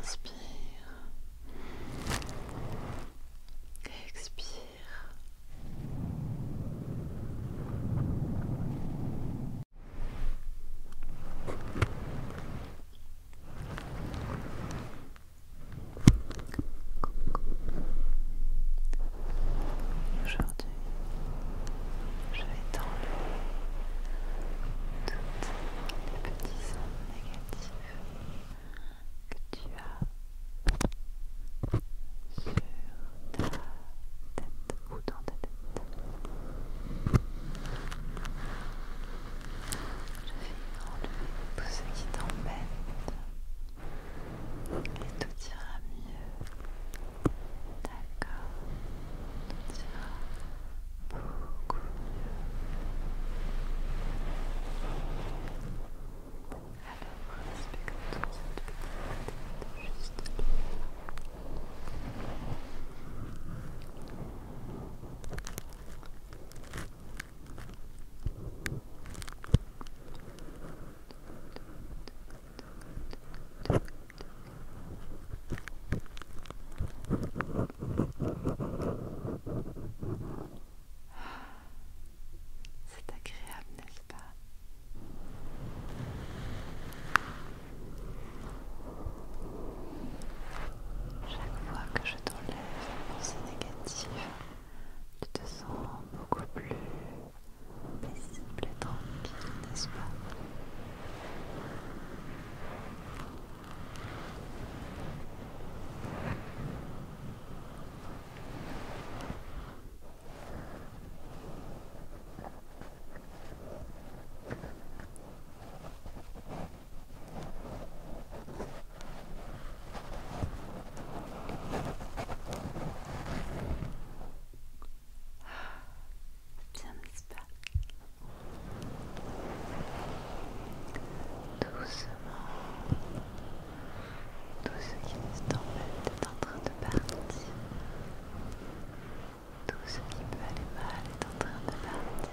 Inspire. Expire. Aujourd'hui, je vais t'enlever toutes les petites ondes négatives que tu as sur ta tête ou dans ta tête. Je vais enlever tout ce qui t'emmène et tout ira mieux. D'accord, tout ira beaucoup mieux. Alors, respectons cette petite juste là. Voilà. C'est agréable, n'est-ce pas Chaque fois que je t'enlèves les pensées négatives, tu te sens beaucoup plus paisible et tranquille, n'est-ce pas ah, bien, n'est-ce pas Doucement, tout ce qui nous embête est en train de partir. Tout ce qui peut aller mal est en train de partir.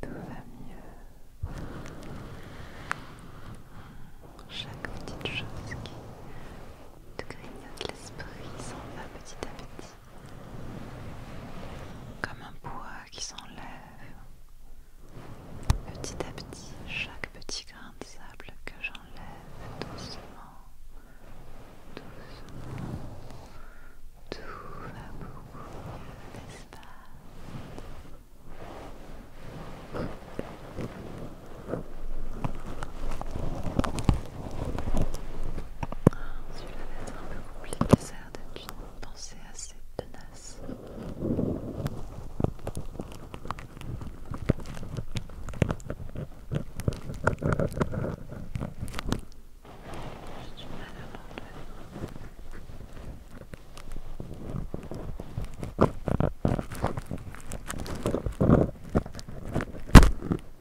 Tout va mieux. Chaque petite chose qui te grignote l'esprit s'en va petit à petit comme un bois qui s'enlève. Petit à petit, chaque petit grain de sable que j'enlève doucement, doucement, tout va beaucoup mieux, n'est-ce pas celui-là va être un peu compliqué, ça a l'air d'être une pensée assez tenace. J'ai du mal à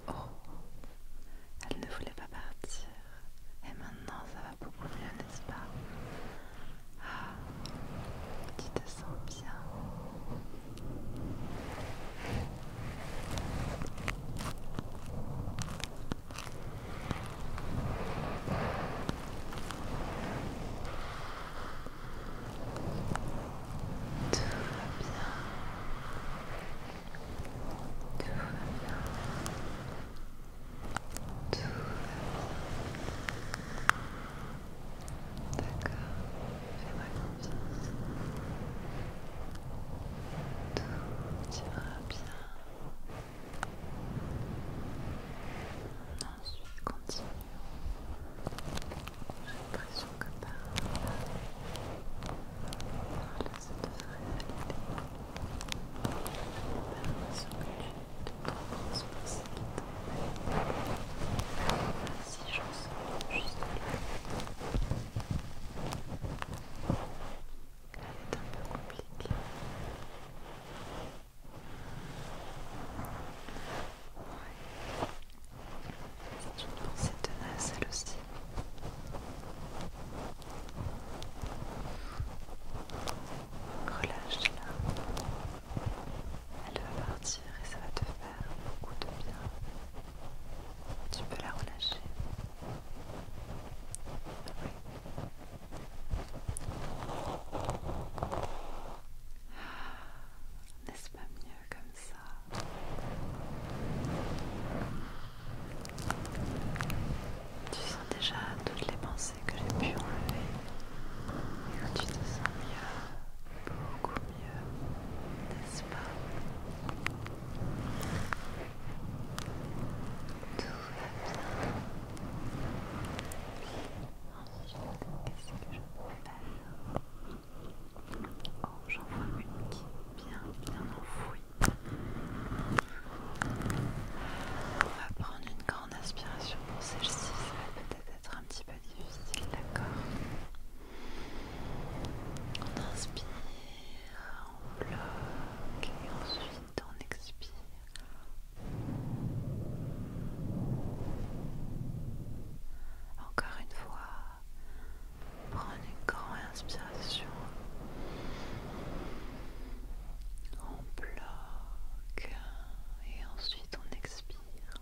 Oh, elle ne voulait pas partir. Et maintenant ça va beaucoup mieux, n'est-ce pas Ah, tu te sens bien. Tout va bien. Tout va bien. Tout va bien. D'accord, fais-moi confiance. Tout ira bien. Ensuite, continue. J'ai l'impression que par là, par force de se réaliser. L'impression que tu te trouves responsabilité. Si j'en sens juste là. Elle est un peu compliquée. Ouais. C'est une pensée tenace elle aussi. Relâche-la. Elle va partir et ça va te faire beaucoup de bien. Tu peux la relâcher. N'est-ce pas mieux comme tu sens déjà toutes les pensées que j'ai pu enlever. Tu te sens mieux, beaucoup mieux, n'est-ce pas Tout va bien. Ensuite, qu'est-ce que je peux Oh, j'en vois une qui est bien, bien enfouie. On va prendre une grande inspiration pour celle-ci, ça va peut-être être un petit peu difficile, d'accord On inspire, on bloque et ensuite on expire. Encore une fois, Prenez une grande inspiration. On bloque et ensuite on expire.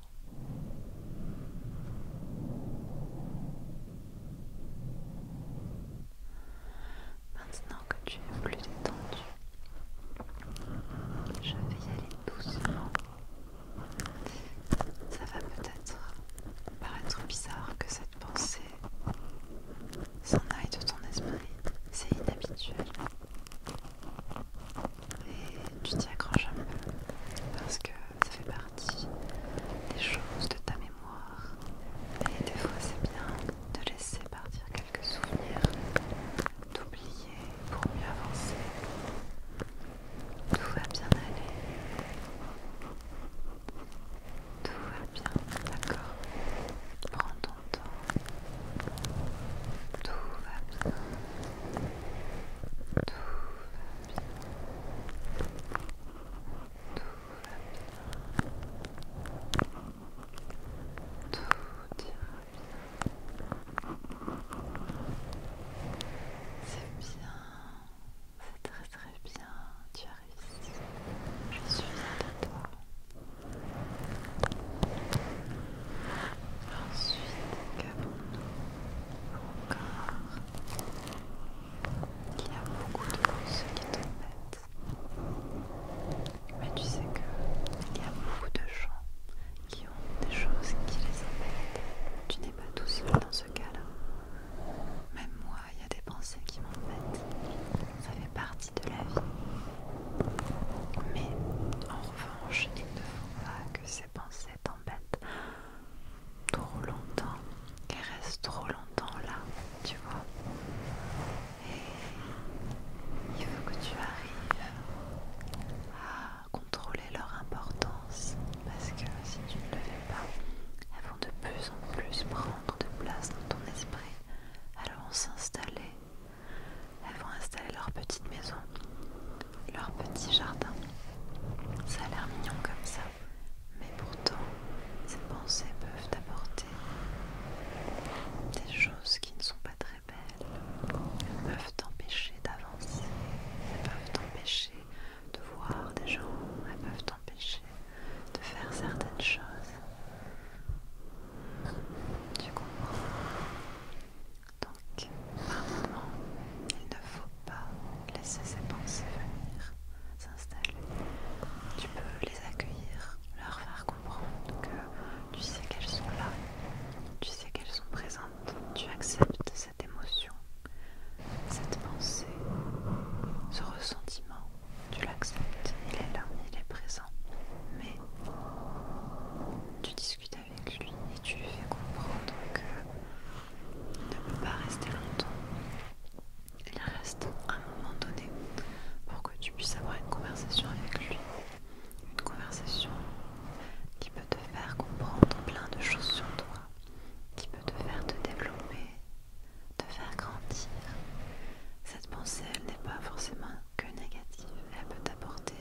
Maintenant que tu es plus détendu, je vais y aller doucement. Ça va peut-être paraître bizarre que cette pensée s'en aille de ton esprit, c'est inhabituel. Et tu t'y accroches un peu parce que ça fait partie des choses de ta mémoire. Et des fois c'est bien de laisser partir quelques souvenirs, d'oublier pour mieux avancer. Tout va bien aller. Tout va bien, d'accord. Prends ton temps. Tout va bien. Tout va bien. Tout va bien. Tout ira bien. C'est bien c'est très très bien, tu arrives réussi, je suis fière de toi. Ensuite, qu'avons-nous Encore. Il y a beaucoup de choses qui t'embêtent. Mais tu sais que il y a beaucoup de gens qui ont des choses qui les embêtent. Tu n'es pas tout seul dans ce cas-là. Même moi, il y a des pensées qui m'embêtent. Ça fait partie de la vie. Mais en revanche, il ne faut pas que ces pensées t'embêtent trop longtemps. Qu'elles restent trop longtemps là, tu vois. Et il faut que tu arrives contrôler leur importance parce que si tu ne le fais pas, elles vont de plus en plus prendre de place dans ton esprit. Elles vont s'installer, elles vont installer leur petite maison, leur petit jardin. Ça a l'air mignon comme ça, mais pourtant ces pensées peuvent apporter des choses qui ne sont pas très belles. Elles peuvent t'empêcher d'avancer, elles peuvent t'empêcher de voir des gens, elles peuvent t'empêcher de faire certaines choses. Tu comprends Donc, par moments, il ne faut pas laisser ces pensées venir s'installer. Tu peux les accueillir, leur faire comprendre que tu sais qu'elles sont là, tu sais qu'elles sont présentes tu acceptes cette émotion, cette pensée, ce ressentiment, tu l'acceptes, il est là, il est présent, mais tu discutes avec lui et tu lui fais comprendre qu'il ne peut pas rester longtemps. Il reste un moment donné pour que tu puisses avoir une conversation avec lui, une conversation qui peut te faire comprendre plein de choses sur toi, qui peut te faire te développer, te faire grandir. Cette pensée, elle n'est pas forcément que négative, elle peut t'apporter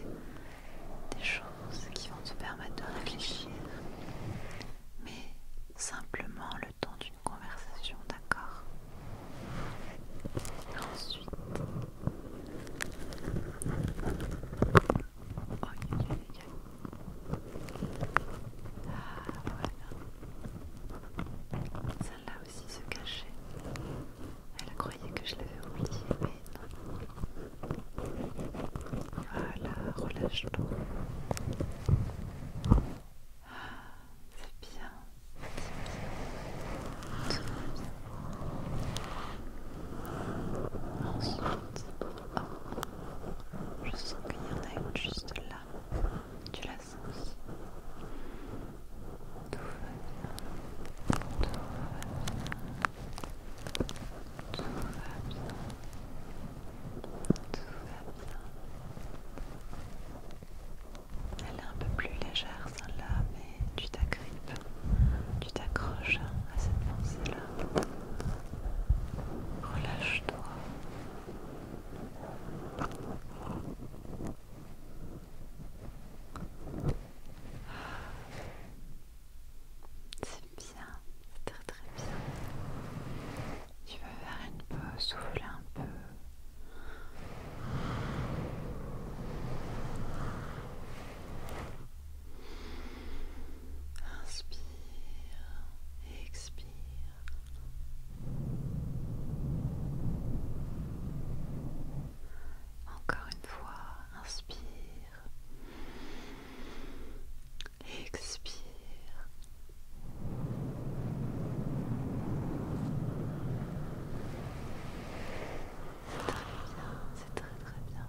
des choses qui vont te permettre de réfléchir, mais simplement le temps d'une conversation, d'accord Ensuite, ah voilà. Celle-là aussi se cachait. Elle croyait que je l'avais oubliée, mais non. Voilà, relâche-toi. Ah, c'est bien. C'est bien. bien. Ensuite, oh, je sens qu'il y en a une juste là. Tu la sens Tout va bien. Tout va bien. Tout va bien. Tout va bien. Elle est un peu plus légère celle-là, mais tu t'agrippes, tu t'accroches à cette pensée-là. Relâche-toi. C'est bien, c'est très très bien. Tu vas faire une pause, souffler un peu. Inspire, expire. Encore une fois, inspire. Expire. C'est Très bien, c'est très très bien.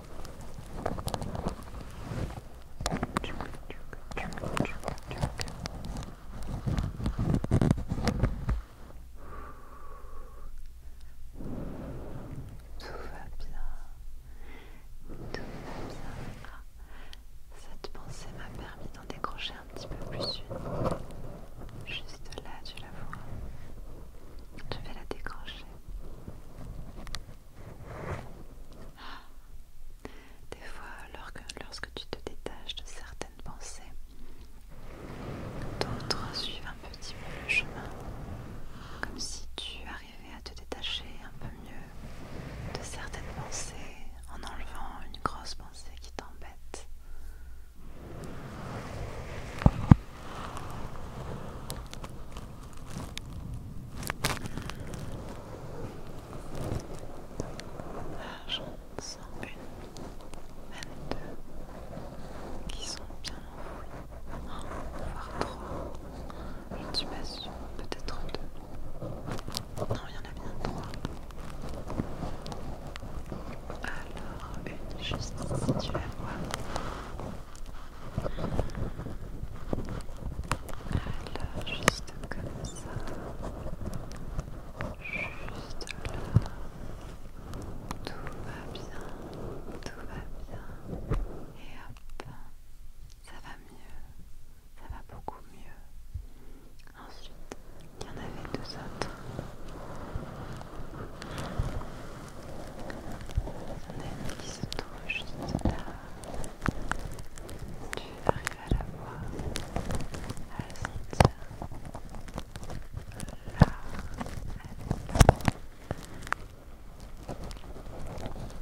Tout va bien. Tout va bien. cette pensée m'a permis d'en décrocher un petit peu plus une. Juste là, tu la vois. Je vais la décrocher. Des fois, lorsque, lorsque tu te détaches de certaines pensées, d'autres suivent un petit peu le chemin, comme si tu arrivais à te détacher un peu mieux de certaines pensées en enlevant une grosse pensée qui t'embête j'en sens une, même deux, qui sont bien enfouies, un, voire trois. Je ne suis pas sûre, peut-être deux. Non, il y en a bien trois. Alors, une juste si tu la vois. Alors, juste comme ça. Juste là. Tout va bien. Tout va bien. Et hop. Ça va mieux. Ça va beaucoup mieux. Ensuite, il y en avait deux autres. Son qui se touche, juste là. Tu arrives à la voir, à la sentir. Là, elle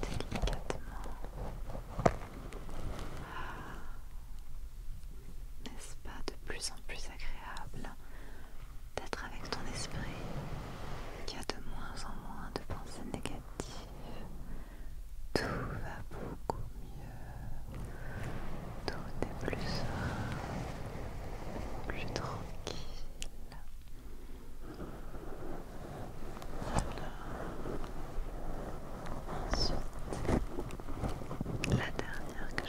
Délicatement. Ah. N'est-ce pas de plus en plus agréable d'être avec ton esprit qui a de moins en moins de pensées négatives. Tout va beaucoup mieux. Tout est plus plus tranquille. Ensuite, la dernière que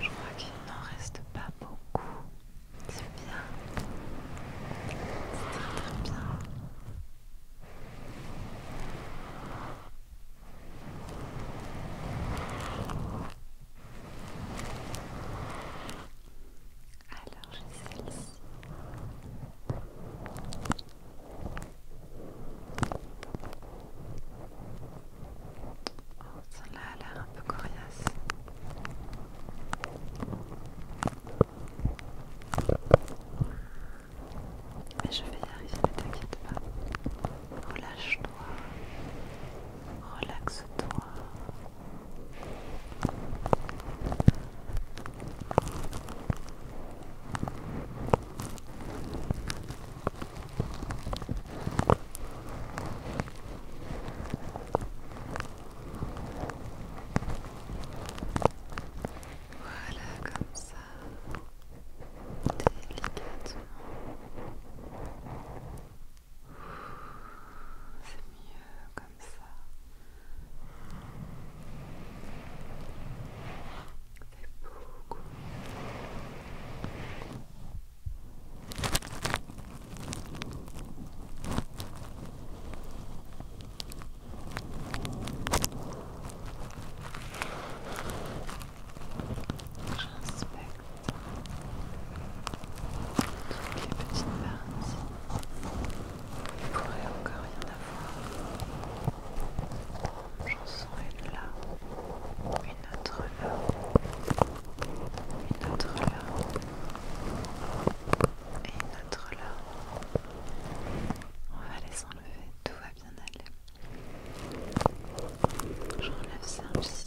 Je crois qu'il n'en reste pas beaucoup. C'est bien. C'est très bien. Alors j'ai celle-ci. Oh, là a l'air un peu coriace. Mais je vais y arriver, ne t'inquiète pas. Relâche-toi. Relaxe-toi. Voilà, comme ça, délicatement. C'est mieux comme ça. fait beaucoup. J'inspecte toutes les petites parties. Il pourrait encore y en avoir. J'en sens une là, une autre là, une autre là, et une autre là. On va les enlever, tout va bien aller. J'enlève celle-ci.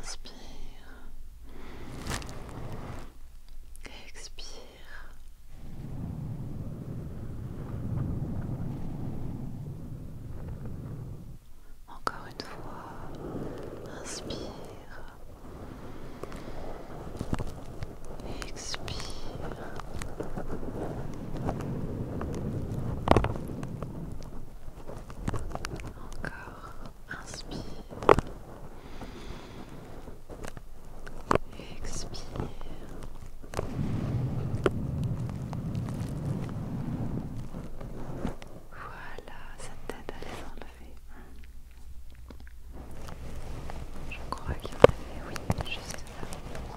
Inspire. Expire. Encore une fois, inspire. Expire. Encore. Inspire. Expire. Voilà, ça t'aide à les enlever. Je crois qu'il y en avait, oui, juste là.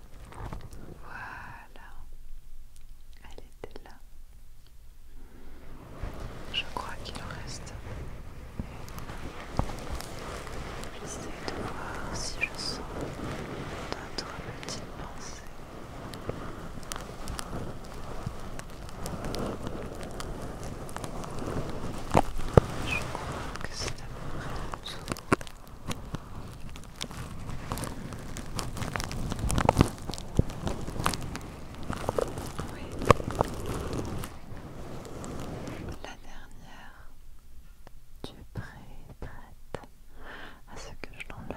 Voilà, elle était là. Je crois qu'il en reste une. J'essaie de voir si je sens d'autres petite pensée Je crois que c'est à peu près la dernière. Tu es à ce que je l'enlève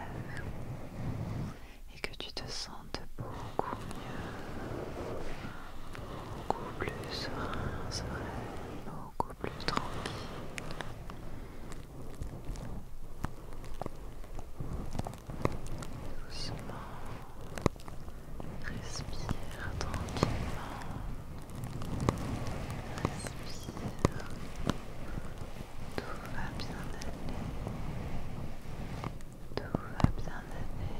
et que tu te sentes beaucoup mieux, beaucoup plus serein, serein beaucoup plus tranquille. Doucement, respire tranquillement, respire, tout va bien aller, tout va bien aller.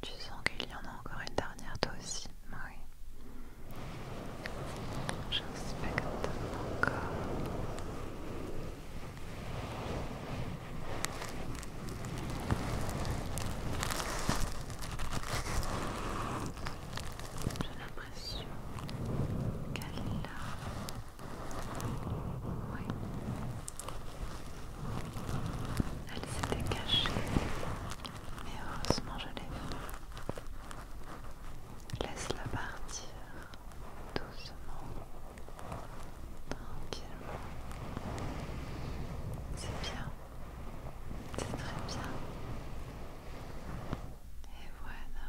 Tu sens qu'il y en a encore une dernière toi aussi, Marie. J'inspecte encore J'ai l'impression qu'elle est là. Oui, elle s'était cachée, mais heureusement je l'ai vue. Laisse-la partir doucement, tranquillement. C'est bien, c'est très bien. Et voilà.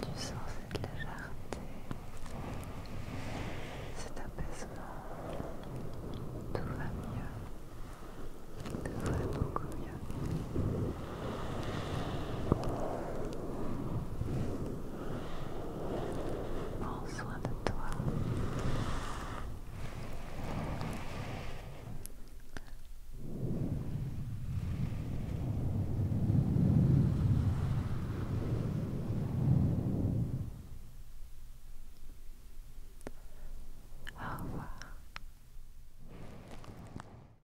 Tu sens cette légèreté, cet apaisement, tout va mieux, tout va beaucoup mieux. Prends soin de toi. Au revoir.